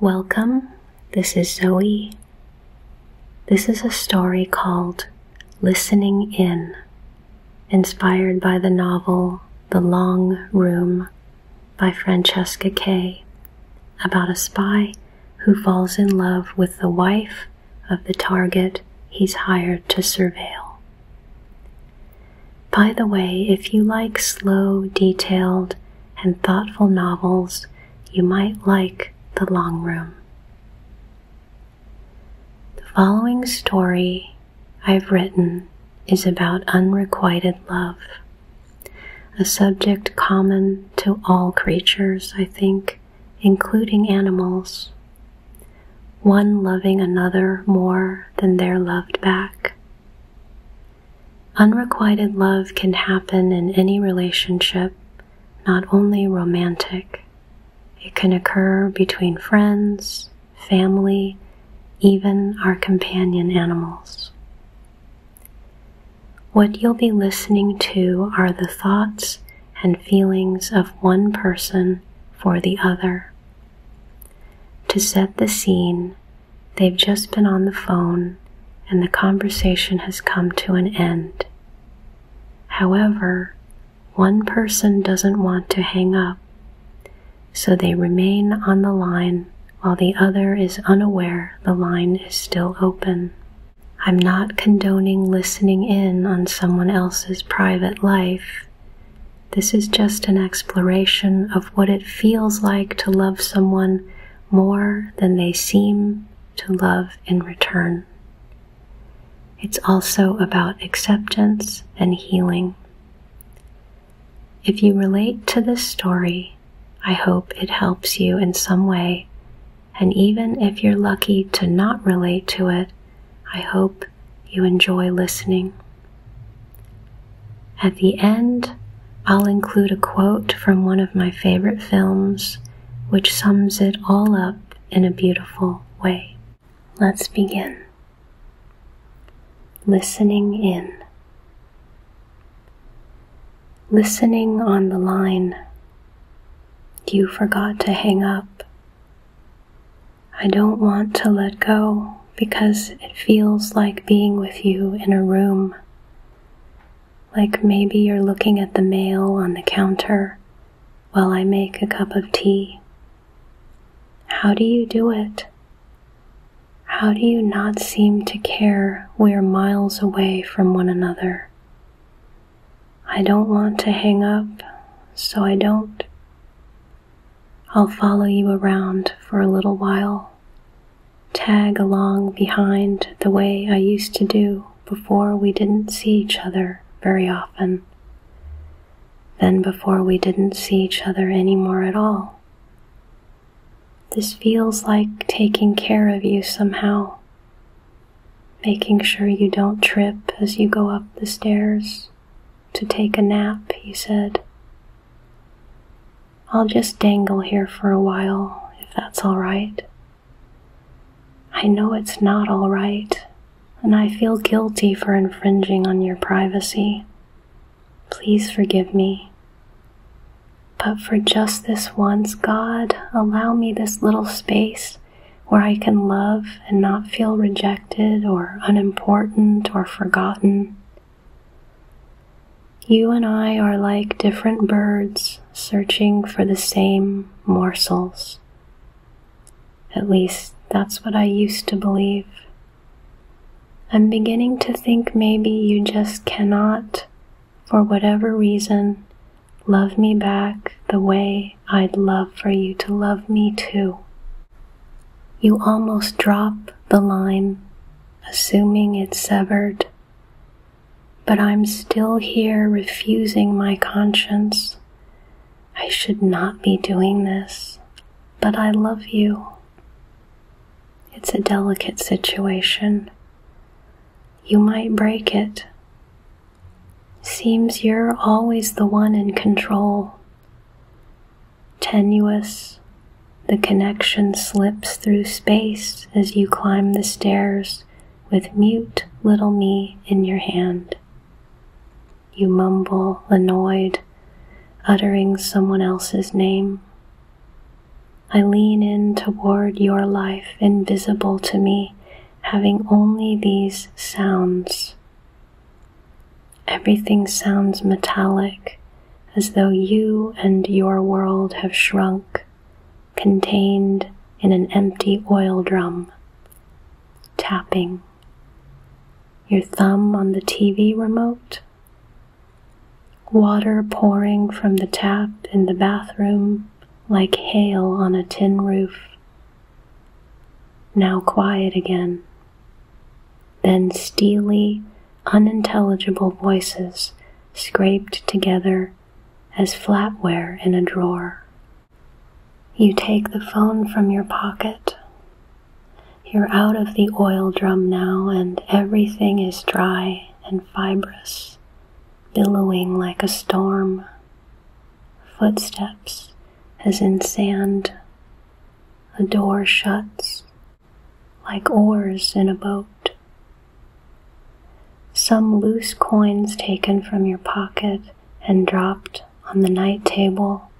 Welcome, this is Zoe. This is a story called Listening In, inspired by the novel The Long Room by Francesca Kay, about a spy who falls in love with the wife of the target he's hired to surveil. By the way, if you like slow, detailed, and thoughtful novels, you might like The Long Room. The following story I've written is about unrequited love, a subject common to all creatures, I think, including animals. One loving another more than their loved back, Unrequited love can happen in any relationship, not only romantic. It can occur between friends, family, even our companion animals. What you'll be listening to are the thoughts and feelings of one person for the other. To set the scene, they've just been on the phone and the conversation has come to an end. However, one person doesn't want to hang up, so they remain on the line while the other is unaware the line is still open. I'm not condoning listening in on someone else's private life, this is just an exploration of what it feels like to love someone more than they seem to love in return. It's also about acceptance and healing. If you relate to this story, I hope it helps you in some way, and even if you're lucky to not relate to it, I hope you enjoy listening. At the end, I'll include a quote from one of my favorite films, which sums it all up in a beautiful way. Let's begin. Listening in. Listening on the line. You forgot to hang up. I don't want to let go because it feels like being with you in a room. Like maybe you're looking at the mail on the counter while I make a cup of tea. How do you do it? How do you not seem to care we're miles away from one another? I don't want to hang up, so I don't. I'll follow you around for a little while, tag along behind the way I used to do before we didn't see each other very often, then before we didn't see each other any more at all. This feels like taking care of you somehow, making sure you don't trip as you go up the stairs to take a nap, he said. I'll just dangle here for a while, if that's all right. I know it's not all right, and I feel guilty for infringing on your privacy. Please forgive me. But for just this once, God, allow me this little space where I can love and not feel rejected or unimportant or forgotten. You and I are like different birds searching for the same morsels. At least that's what I used to believe. I'm beginning to think maybe you just cannot, for whatever reason, Love me back the way I'd love for you to love me too. You almost drop the line, assuming it's severed, but I'm still here refusing my conscience. I should not be doing this, but I love you. It's a delicate situation. You might break it, Seems you're always the one in control. Tenuous, the connection slips through space as you climb the stairs with mute little me in your hand. You mumble, annoyed, uttering someone else's name. I lean in toward your life invisible to me having only these sounds. Everything sounds metallic, as though you and your world have shrunk, contained in an empty oil drum. Tapping. Your thumb on the TV remote. Water pouring from the tap in the bathroom like hail on a tin roof. Now quiet again. Then steely, unintelligible voices scraped together as flatware in a drawer. You take the phone from your pocket. You're out of the oil drum now, and everything is dry and fibrous billowing like a storm. Footsteps as in sand. A door shuts like oars in a boat. Some loose coins taken from your pocket and dropped on the night table,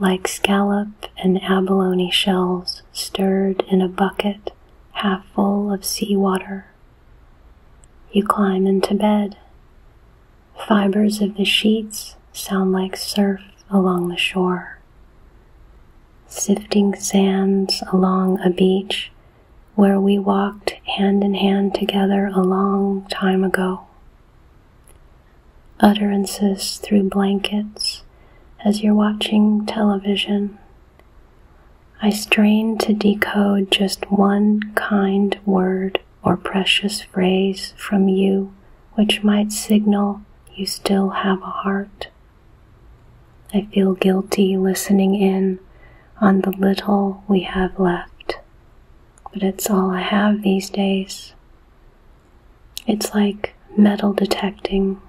like scallop and abalone shells stirred in a bucket half full of sea water. You climb into bed. Fibers of the sheets sound like surf along the shore. Sifting sands along a beach where we walked hand in hand together a long time ago. Utterances through blankets as you're watching television I strain to decode just one kind word or precious phrase from you which might signal you still have a heart. I feel guilty listening in on the little we have left, but it's all I have these days. It's like metal detecting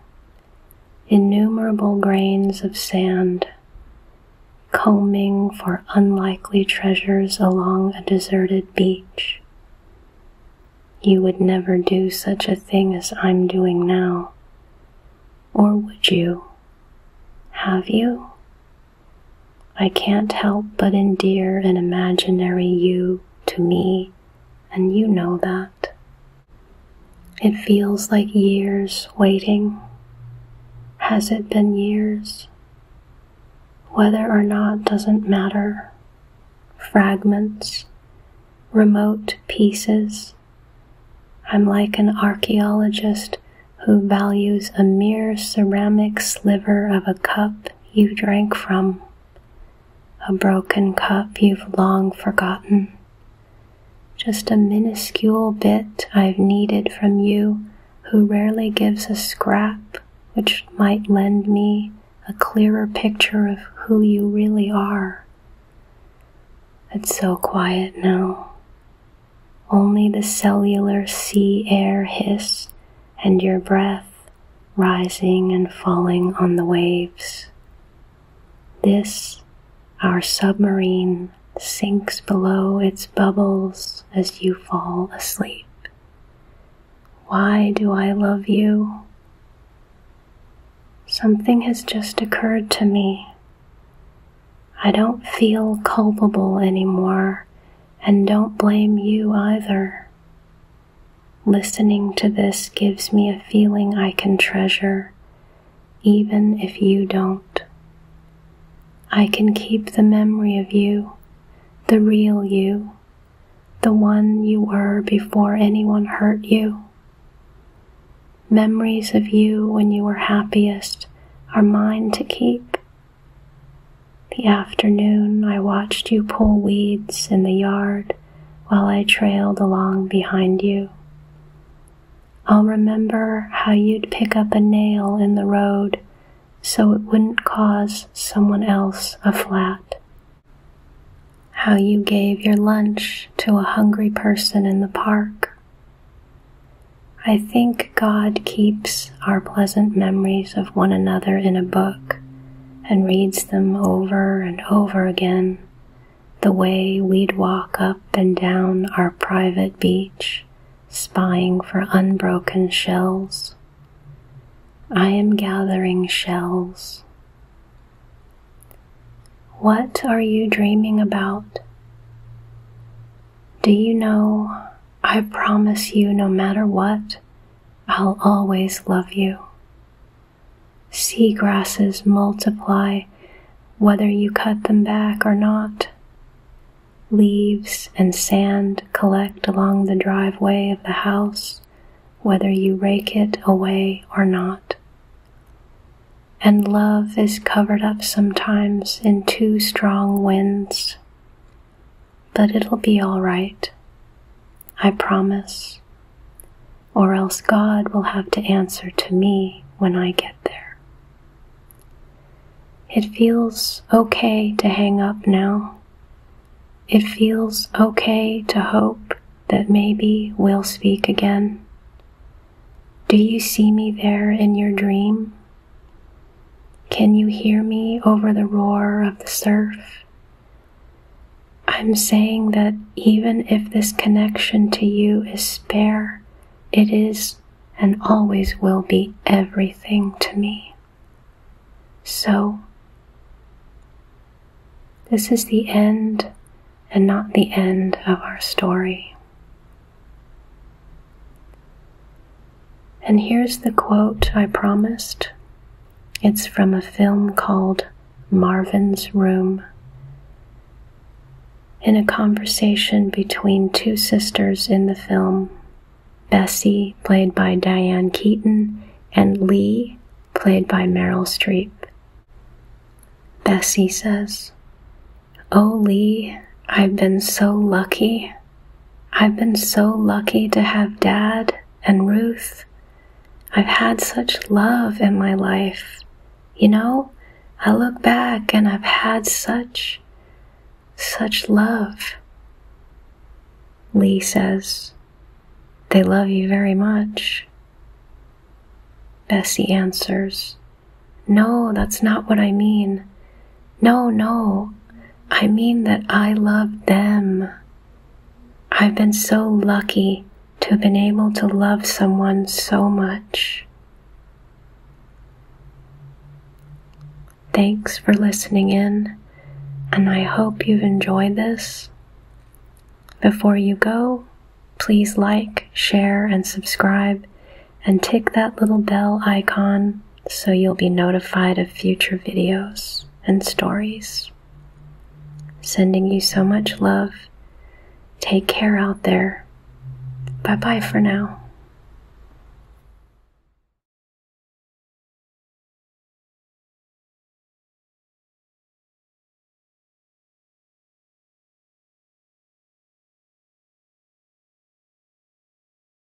innumerable grains of sand, combing for unlikely treasures along a deserted beach. You would never do such a thing as I'm doing now. Or would you? Have you? I can't help but endear an imaginary you to me, and you know that. It feels like years waiting. Has it been years? Whether or not doesn't matter. Fragments, remote pieces. I'm like an archaeologist who values a mere ceramic sliver of a cup you drank from, a broken cup you've long forgotten, just a minuscule bit I've needed from you who rarely gives a scrap which might lend me a clearer picture of who you really are. It's so quiet now. Only the cellular sea air hiss and your breath rising and falling on the waves. This, our submarine, sinks below its bubbles as you fall asleep. Why do I love you? Something has just occurred to me. I don't feel culpable anymore and don't blame you either. Listening to this gives me a feeling I can treasure, even if you don't. I can keep the memory of you, the real you, the one you were before anyone hurt you. Memories of you when you were happiest are mine to keep. The afternoon I watched you pull weeds in the yard while I trailed along behind you. I'll remember how you'd pick up a nail in the road so it wouldn't cause someone else a flat. How you gave your lunch to a hungry person in the park. I think God keeps our pleasant memories of one another in a book and reads them over and over again the way we'd walk up and down our private beach, spying for unbroken shells. I am gathering shells. What are you dreaming about? Do you know, I promise you no matter what, I'll always love you. Sea grasses multiply whether you cut them back or not. Leaves and sand collect along the driveway of the house whether you rake it away or not. And love is covered up sometimes in too strong winds but it'll be all right. I promise. Or else God will have to answer to me when I get there. It feels okay to hang up now. It feels okay to hope that maybe we'll speak again. Do you see me there in your dream? Can you hear me over the roar of the surf I'm saying that even if this connection to you is spare, it is and always will be everything to me. So, this is the end and not the end of our story. And here's the quote I promised it's from a film called Marvin's Room. In a conversation between two sisters in the film, Bessie, played by Diane Keaton, and Lee, played by Meryl Streep. Bessie says, Oh, Lee, I've been so lucky. I've been so lucky to have Dad and Ruth. I've had such love in my life. You know, I look back and I've had such, such love. Lee says, They love you very much. Bessie answers, No, that's not what I mean. No, no, I mean that I love them. I've been so lucky to have been able to love someone so much. Thanks for listening in, and I hope you've enjoyed this. Before you go, please like, share, and subscribe, and tick that little bell icon so you'll be notified of future videos and stories. Sending you so much love. Take care out there. Bye bye for now.